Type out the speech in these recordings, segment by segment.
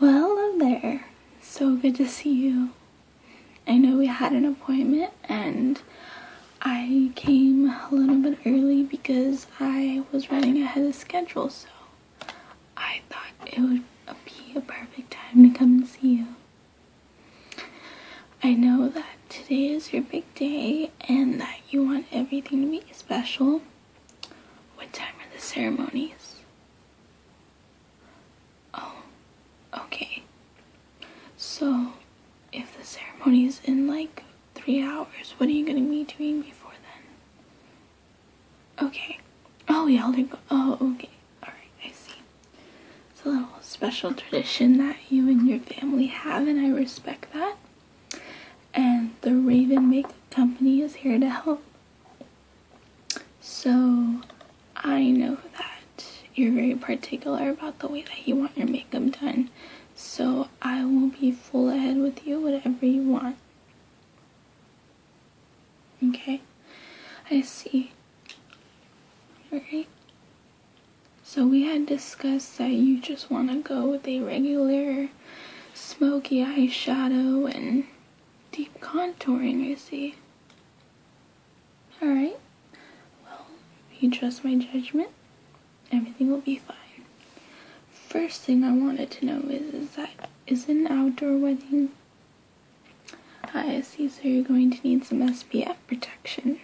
Well, hello there. So good to see you. I know we had an appointment and I came a little bit early because I was running ahead of schedule, so I thought it would be a perfect time to come and see you. I know that today is your big day and that you want everything to be special, what time are the ceremonies? Oh, okay. So, if the ceremony is in like three hours, what are you gonna be doing before then? Okay. Oh, y'all are go- Oh, okay. Alright, I see. It's a little special tradition that you and your family have, and I respect that. And the Raven Makeup Company is here to help. So I know that you're very particular about the way that you want your makeup done. So I will be full ahead with you, whatever you want. Okay? I see. Okay. So we had discussed that you just want to go with a regular smoky eyeshadow and deep contouring, I see. Alright, well, if you trust my judgment, everything will be fine. First thing I wanted to know is, is that is it an outdoor wedding? I see, so you're going to need some SPF protection.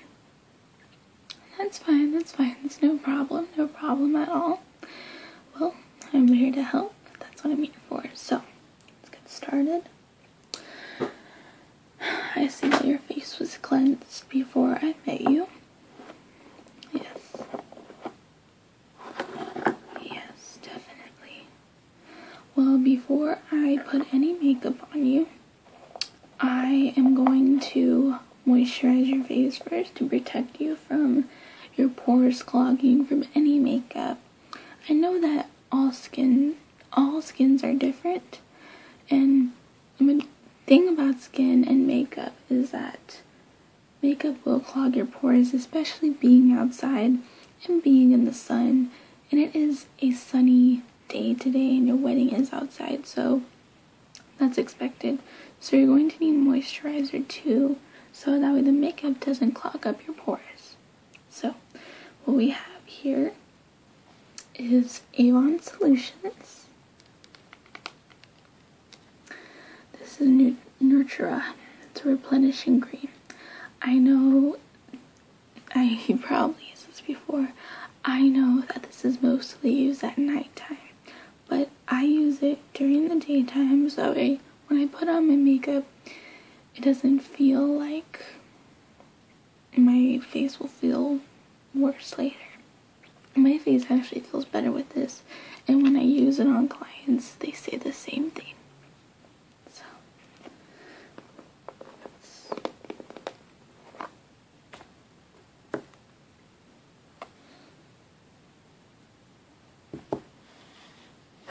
That's fine, that's fine, That's no problem, no problem at all. Well, I'm here to help. That's what I'm here for. So, let's get started. I see that your face was cleansed before I met you. Yes. Yes, definitely. Well, before I put any makeup on you, I am going to moisturize your face first to protect you from your pores clogging from any makeup. I know that all skin all skins are different and the thing about skin and makeup is that makeup will clog your pores, especially being outside and being in the sun. And it is a sunny day today and your wedding is outside, so that's expected. So you're going to need moisturizer too, so that way the makeup doesn't clog up your pores. So what we have here is Avon Solutions. This is Nut Nurtura. It's a replenishing cream. I know, I you probably used this before. I know that this is mostly used at nighttime, but I use it during the daytime so when I put on my makeup, it doesn't feel like my face will feel worse later. My face actually feels better with this, and when I use it on clients, they say the same thing. So,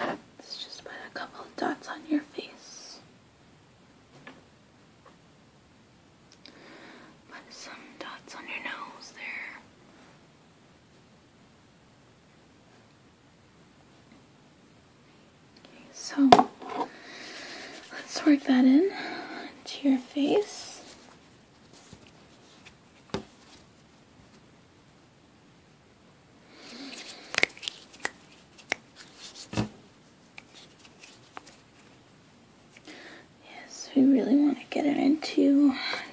Let's just put a couple of dots on your face. Put some dots on your nose there. Okay, so let's work that in to your face. Yes, we really want to get it into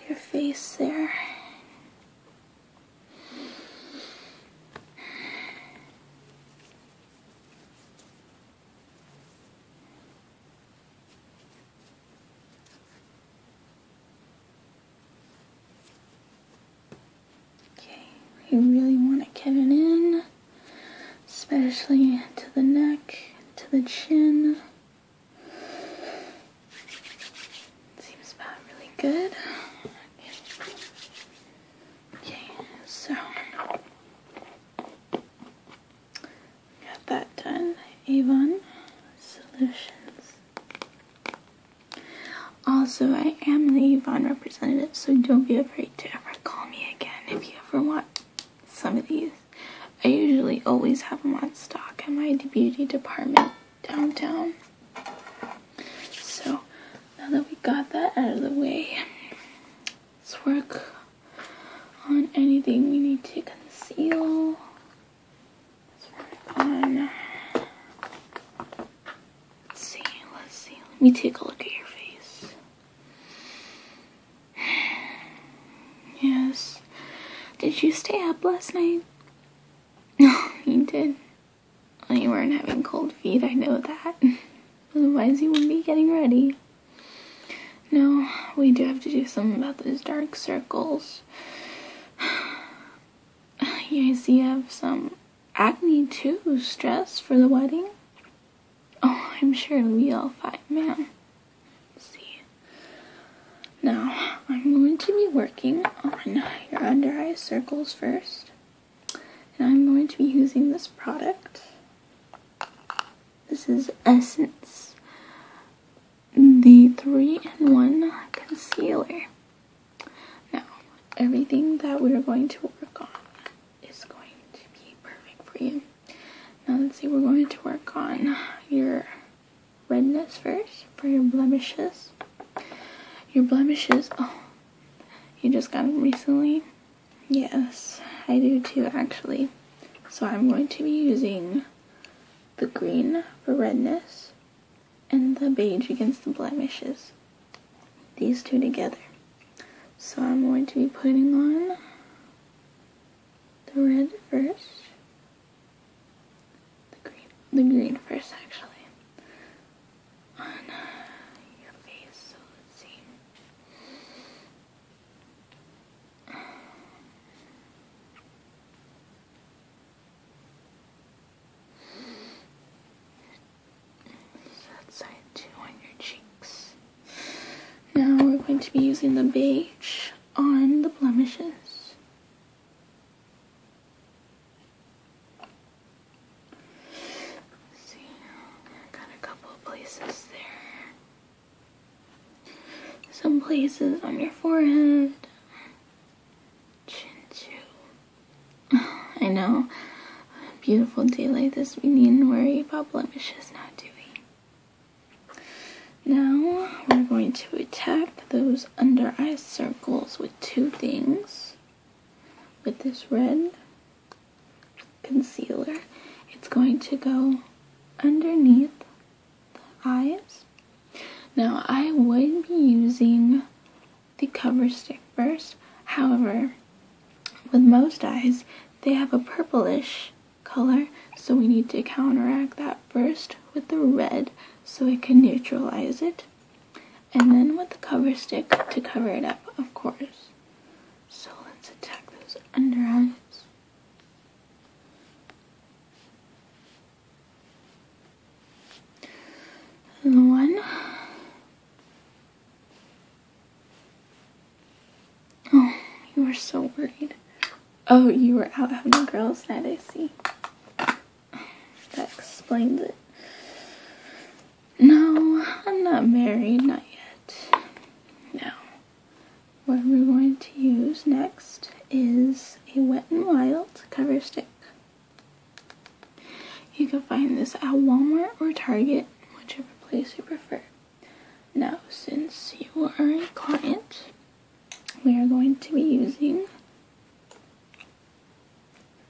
your face there. Okay, we really want to get it in, especially to the neck, to the chin. Seems about really good. Okay, so Got that done. Avon Solutions. Also, I am the Avon representative, so don't be afraid to ever call me again if you ever want some of these. I usually always have them on stock at my beauty department downtown. So, now that we got that out of the way, let's work on anything we need to conceal. Let's see, let's see. Let me take a look at your face. Yes. Did you stay up last night? No, you did. Well, you weren't having cold feet, I know that. Otherwise, you wouldn't be getting ready. No, we do have to do something about those dark circles. you guys you have some acne too, stress for the wedding. Oh, I'm sure we all fine, man. see. Now, I'm going to be working on your under eye circles first. And I'm going to be using this product. This is Essence the 3 in 1 concealer. Now, everything that we're going to work on is going to be perfect for you. Now, let's see, we're going to work on your redness first for your blemishes. Your blemishes, oh, you just got them recently? Yes, I do too actually. So I'm going to be using the green for redness, and the beige against the blemishes. These two together. So I'm going to be putting on the red first. The green, the green first actually. On uh, your face, so let's see. That side too on your cheeks. Now we're going to be using the beige on the blemishes. see, got a couple of places there some places on your forehead, chin too. I know, beautiful day like this, we needn't worry about blemishes now, do Now, we're going to attack those under eye circles with two things. With this red concealer, it's going to go underneath the eyes. Now I would be using the cover stick first. However, with most eyes, they have a purplish color, so we need to counteract that first with the red so it can neutralize it. And then with the cover stick to cover it up, of course. So let's attack those under eyes one. Oh, you were so worried. Oh, you were out having girls' night, I see. That explains it. No, I'm not married, not yet. No. What we're going to use next is a Wet n Wild cover stick. You can find this at Walmart or Target, whichever place you prefer. Now, since you are a client, we are going to be using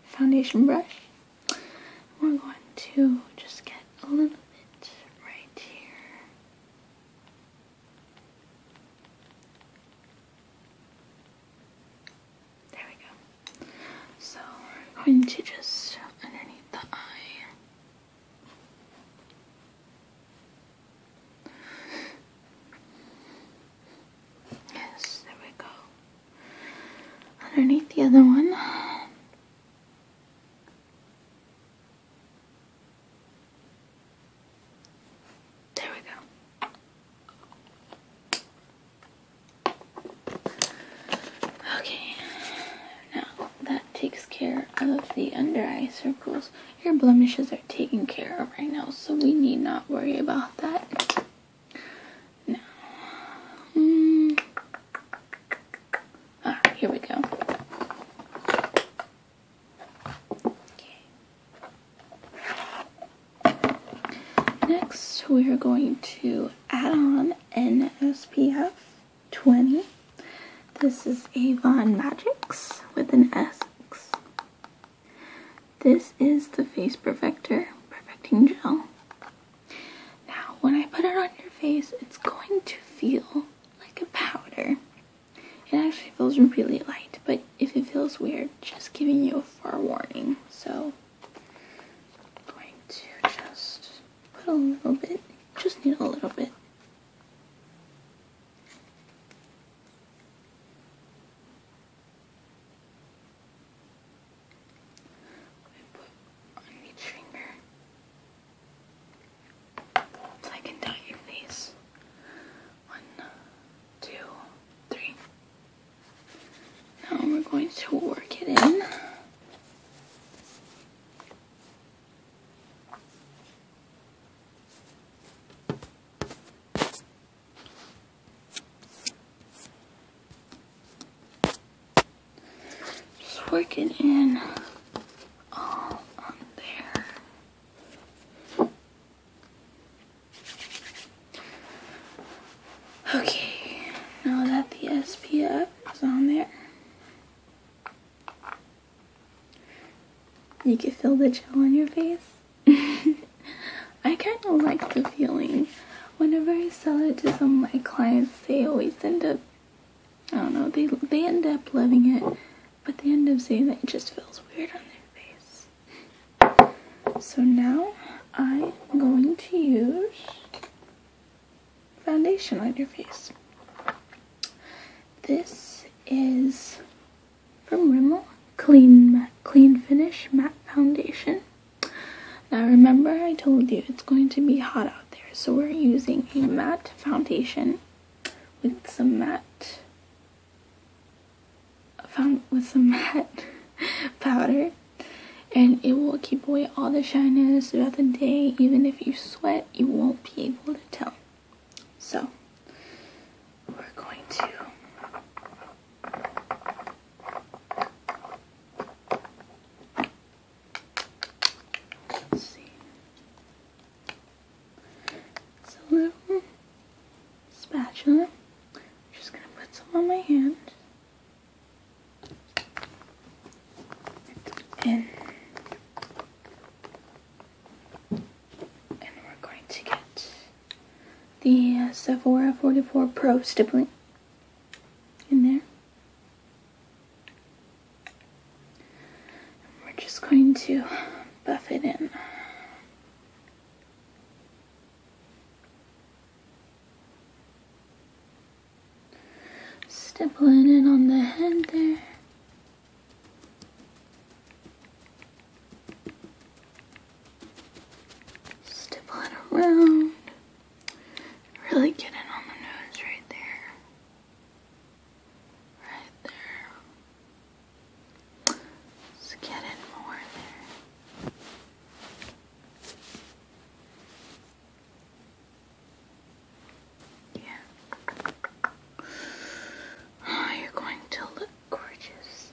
foundation brush. We're going to just get a little bit right here there we go. So we're going to just underneath the eye. Yes, there we go. Underneath the other one. There we go. Okay, now that takes care of the under eye circles. Your blemishes are taken care of right now, so we need not worry about that. Now, hmm. ah, here we go. Next, we are going to add on N S 20. This is Avon Magix with an S. This is the Face Perfector Perfecting Gel. Now, when I put it on your face, it's going to feel like a powder. It actually feels really light, but if it feels weird, just giving you a forewarning. So, going to just put a little bit, just need a little bit. put on each finger. I can tell these. One, two, three. Now we're going to work it in. Just work it in all on there. Okay, now that the SPF is on there, you can feel the chill on your face. I kind of like the feeling. Whenever I sell it to some of my clients, they always end up, I don't know, they, they end up loving it but the end of saying that it just feels weird on their face. So now I'm going to use foundation on your face. This is from Rimmel Clean Matte, Clean Finish Matte Foundation. Now remember I told you it's going to be hot out there, so we're using a matte foundation with some matte found with some matte powder and it will keep away all the shyness throughout the day even if you sweat you won't be able to tell so we're going to see. It's a little spatula. I'm just gonna put some on my hand. In. And we're going to get the uh, Sephora 44 Pro stippling in there we're just going to buff it in. Stippling in on the head there. Stippling around. Really getting on the nose right there. Right there. Let's get in more there. Yeah. Oh, you're going to look gorgeous.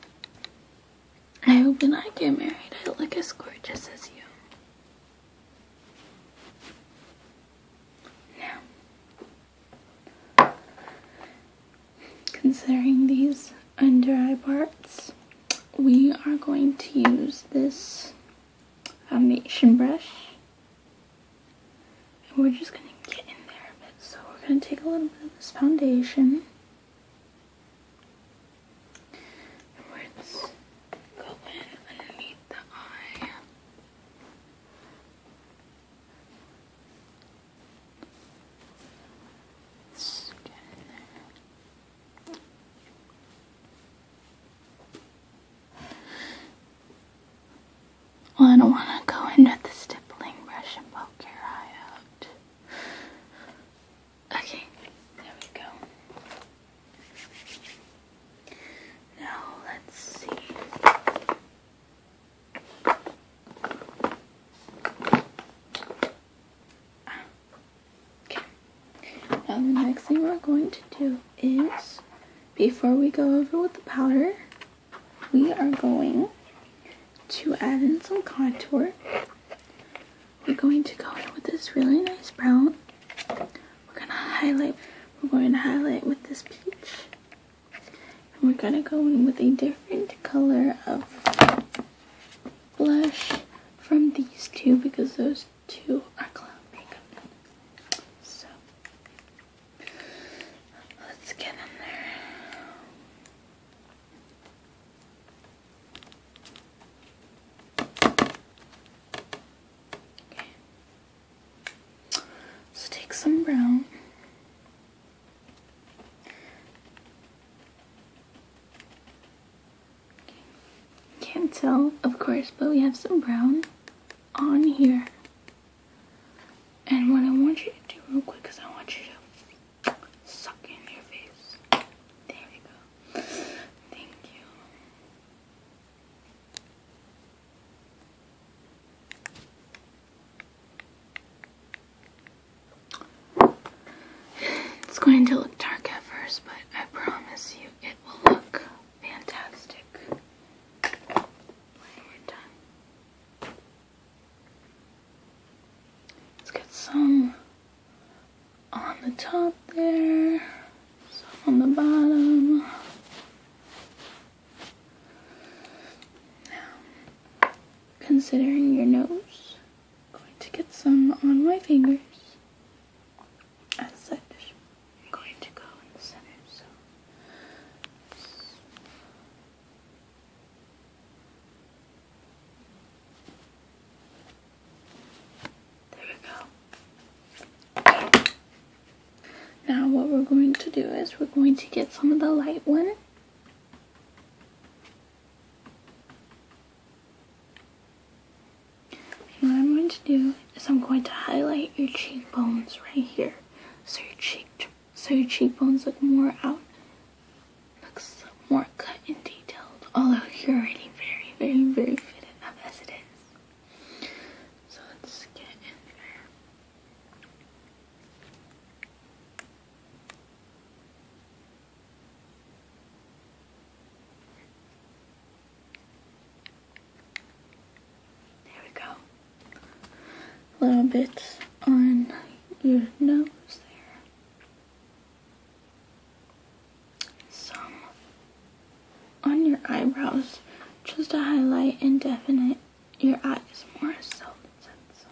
I hope when I get married, I look as gorgeous as you. Now, considering these under eye parts, we are going to use this foundation brush. And we're just going to get in there a bit. So we're going to take a little bit of this foundation. And we're just go in underneath the eye. Well, I don't want to go in with the stippling brush and poke your eye out. Okay, there we go. Now let's see. Okay. Now the next thing we're going to do is before we go over with the powder, we are going to add in some contour. We're going to go in with this really nice brown. We're gonna highlight, we're going to highlight with this peach. And we're gonna go in with a different color of blush from these two because those two are clown makeup. So, let's get in there. So take some brown. Can't tell, of course, but we have some brown on here. And what I want you to do real quick is I want you to suck in your face. There we go. Thank you. It's going to look dark at first, but I promise you it will look fantastic Let's get some on the top there. So on the bottom. Now, considering your nose, I'm going to get some on my fingers. As such, I'm going to go in the center. So. There we go. Now what we're going to do is we're going to get some of the light one. what I'm going to do is I'm going to highlight your cheekbones right here. So your cheek so your cheekbones look more out. Looks more cut and detailed. Although you're already very, very, very fit up as it is. So let's get in there. There we go. A little bit on your nose there some on your eyebrows just to highlight and definite your eyes more so that's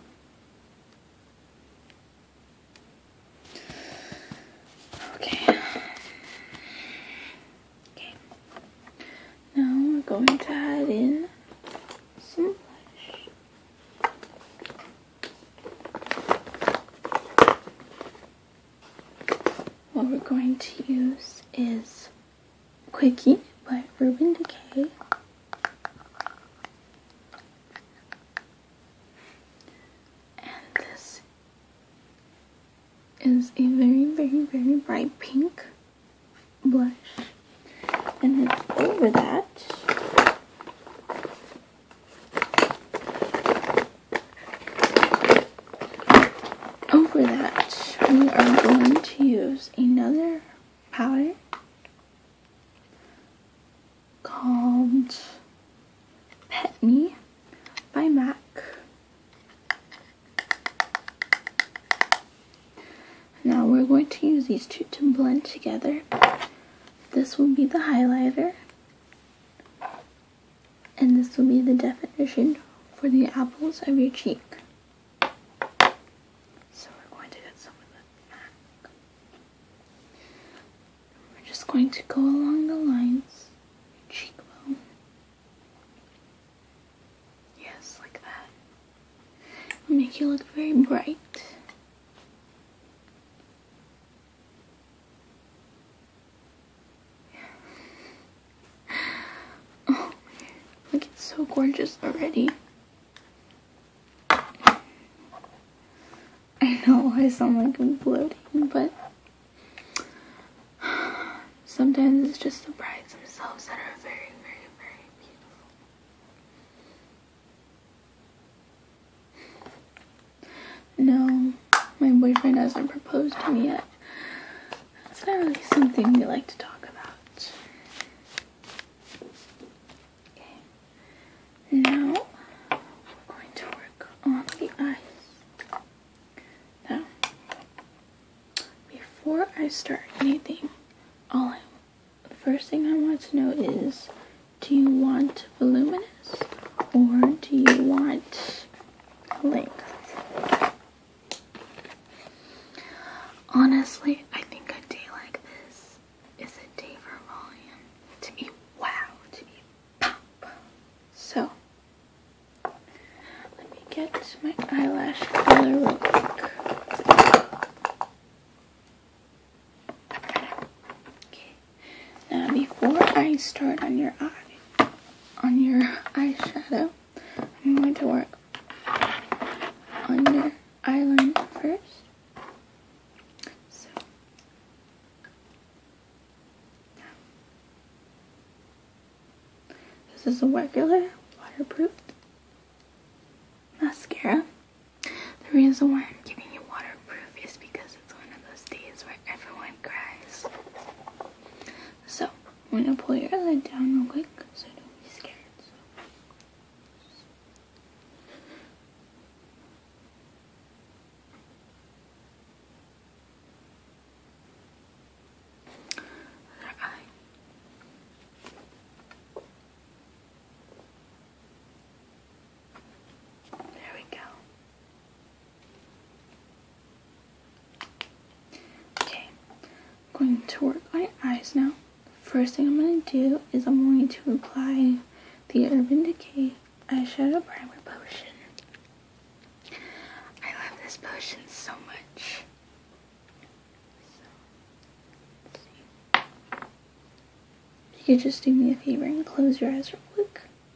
Okay. Okay. Now we're going to add in some blush what we're going to use is Quickie by Urban Decay. And this is a very, very, very bright pink blush. And then over that, over that, we are going to use another powder called Pet Me by MAC. Now we're going to use these two to blend together. This will be the highlighter and this will be the definition for the apples of your cheek. So we're going to get some of the We're just going to go along the lines, cheekbone. Yes, like that. make you look very bright. Oh, look, it's so gorgeous already. I know I sound like I'm bloating, but sometimes it's just the brides themselves that are very, very, very beautiful. No my boyfriend hasn't proposed to me yet. That's not really something we like to talk about. Okay. Now I'm going to work on the eyes. Now, before I start anything, all I the first thing I want to know is do you want voluminous or do you want Honestly, I think a day like this is a day for volume to be wow, to be pop. So, let me get my eyelash color real quick. Okay, now before I start on your eye, on your eyeshadow. I'm going to work on your eyeliner first. So, this is a regular waterproof mascara. The reason why I'm giving you waterproof is because it's one of those days where everyone cries. So, I'm gonna pull your lid down real quick so don't be scared. There we go. Okay, I'm going to work my eyes now. First thing I'm going to do is I'm going to apply the Urban Decay eyeshadow primer potion. I love this potion so much. you could just do me a favor and close your eyes real quick. There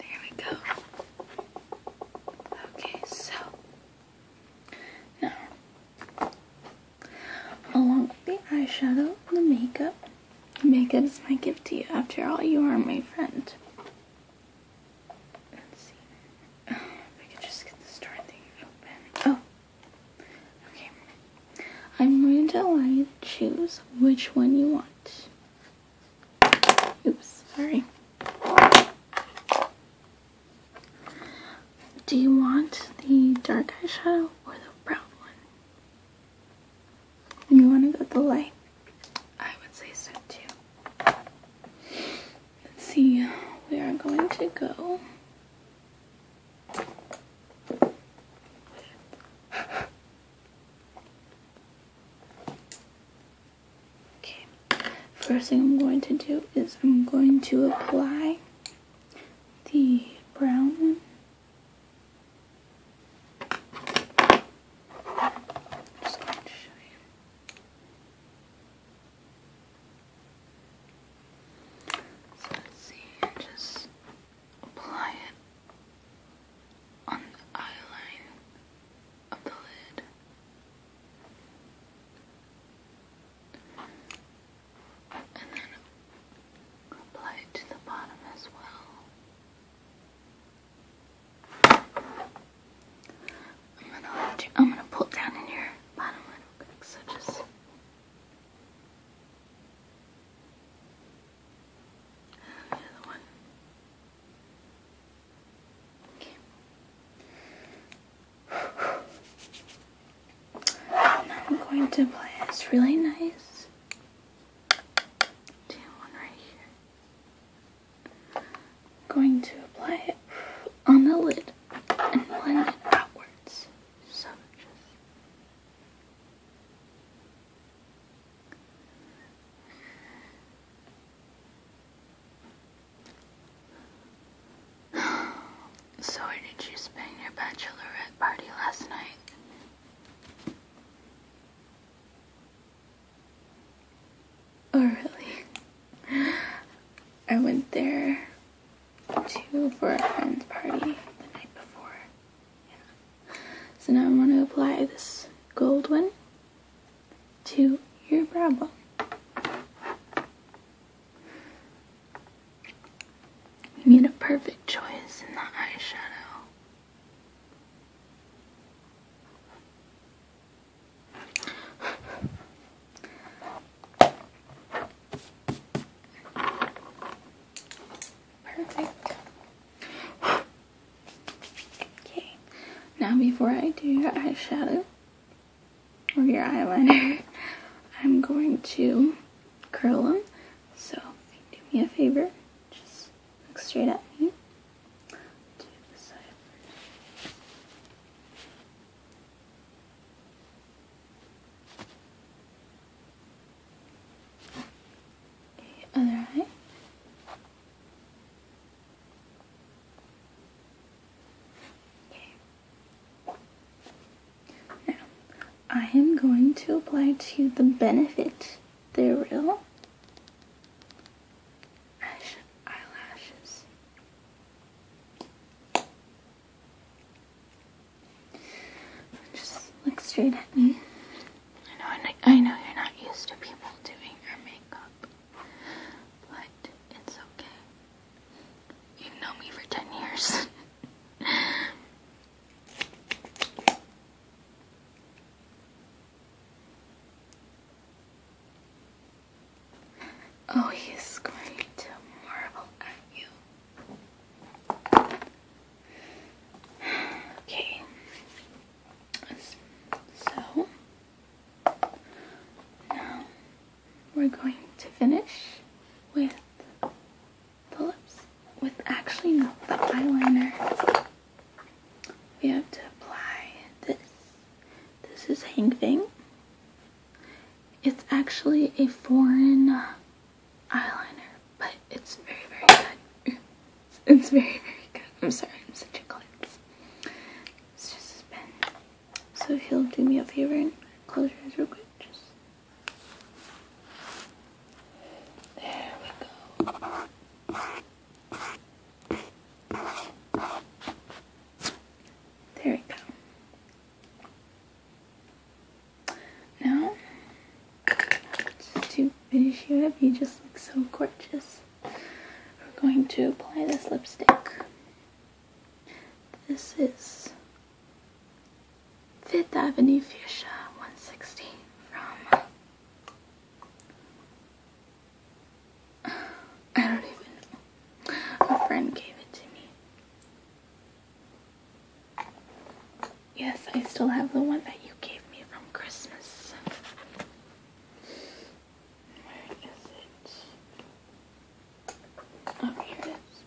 we go. Okay, so now along with the eyeshadow the makeup, Make it as my gift to you. After all, you are my friend. Let's see. If I could just get the store thing open. Oh. Okay. I'm going to allow you to choose which one you want. Oops, sorry. Do you want the dark eyeshadow or the brown one? You want to go the light? I would say so too. Let's see, we are going to go. Okay, first thing I'm going to do is I'm going to apply the brown one just you. So let's see, just apply it on the eyeline of the lid. And then apply it to the bottom as well. I'm gonna hold I'm gonna pull down in your bottom lid, like the other one. Okay. And I'm going to apply this really nice. Do one right here. I'm going to apply it on the lid and blend it outwards. So just did you spend your bachelorette party last night? Oh, really? I went there to for a friend's party the night before. Yeah. So now I'm going to apply this gold one to your brow bone. You made a perfect choice in the eyeshadow. Perfect. Okay, now before I do your eyeshadow or your eyeliner, I'm going to curl them. So, do me a favor, just Look straight at me. To the side other eye. Okay. Now, I am going to apply to the benefit they're real eyelashes. Just look straight at me. I know, I know, you're not used to people doing your makeup, but it's okay. You've known me for ten years. Oh, he's going to marvel at you. Okay. So now we're going to finish with the lips with actually not the eyeliner. We have to apply this. This is a Hang thing. It's actually a foreign eyeliner, but it's very, very good. It's very, very good. I'm sorry, I'm such a klutz. It's just a pen. So if you'll do me a favor and close your eyes real quick, just there we go. There we go. Now, to finish you up, you just look so gorgeous. We're going to apply this lipstick. This is Fifth Avenue Fuchsia 160 from I don't even A friend gave it to me. Yes, I still have the one that you gave me from Christmas. Where is it? Oh, here it is.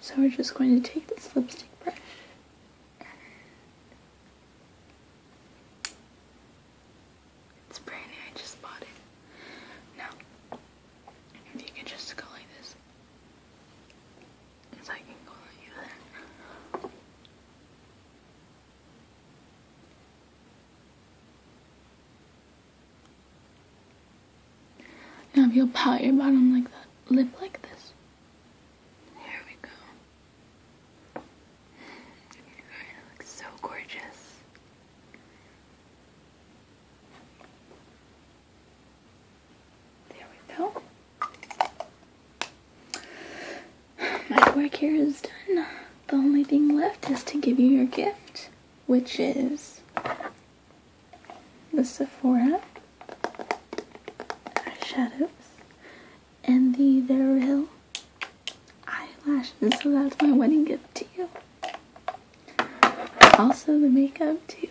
So we're just going to take this lipstick brush it's brand new, I just bought it. Now, if you could just go like this. So I can go like that. Now if you'll pat your bottom like that, lip like this. There we go. You're look so gorgeous. There we go. My work here is done. The only thing left is to give you your gift, which is the Sephora eyeshadows and the Veryl eyelashes. So that's my wedding gift to you. Also the makeup too.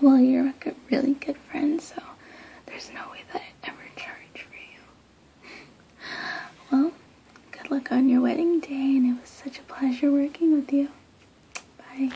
Well, you're a really good friend, so there's no way that I ever charge for you. well, good luck on your wedding day, and it was such a pleasure working with you. Bye.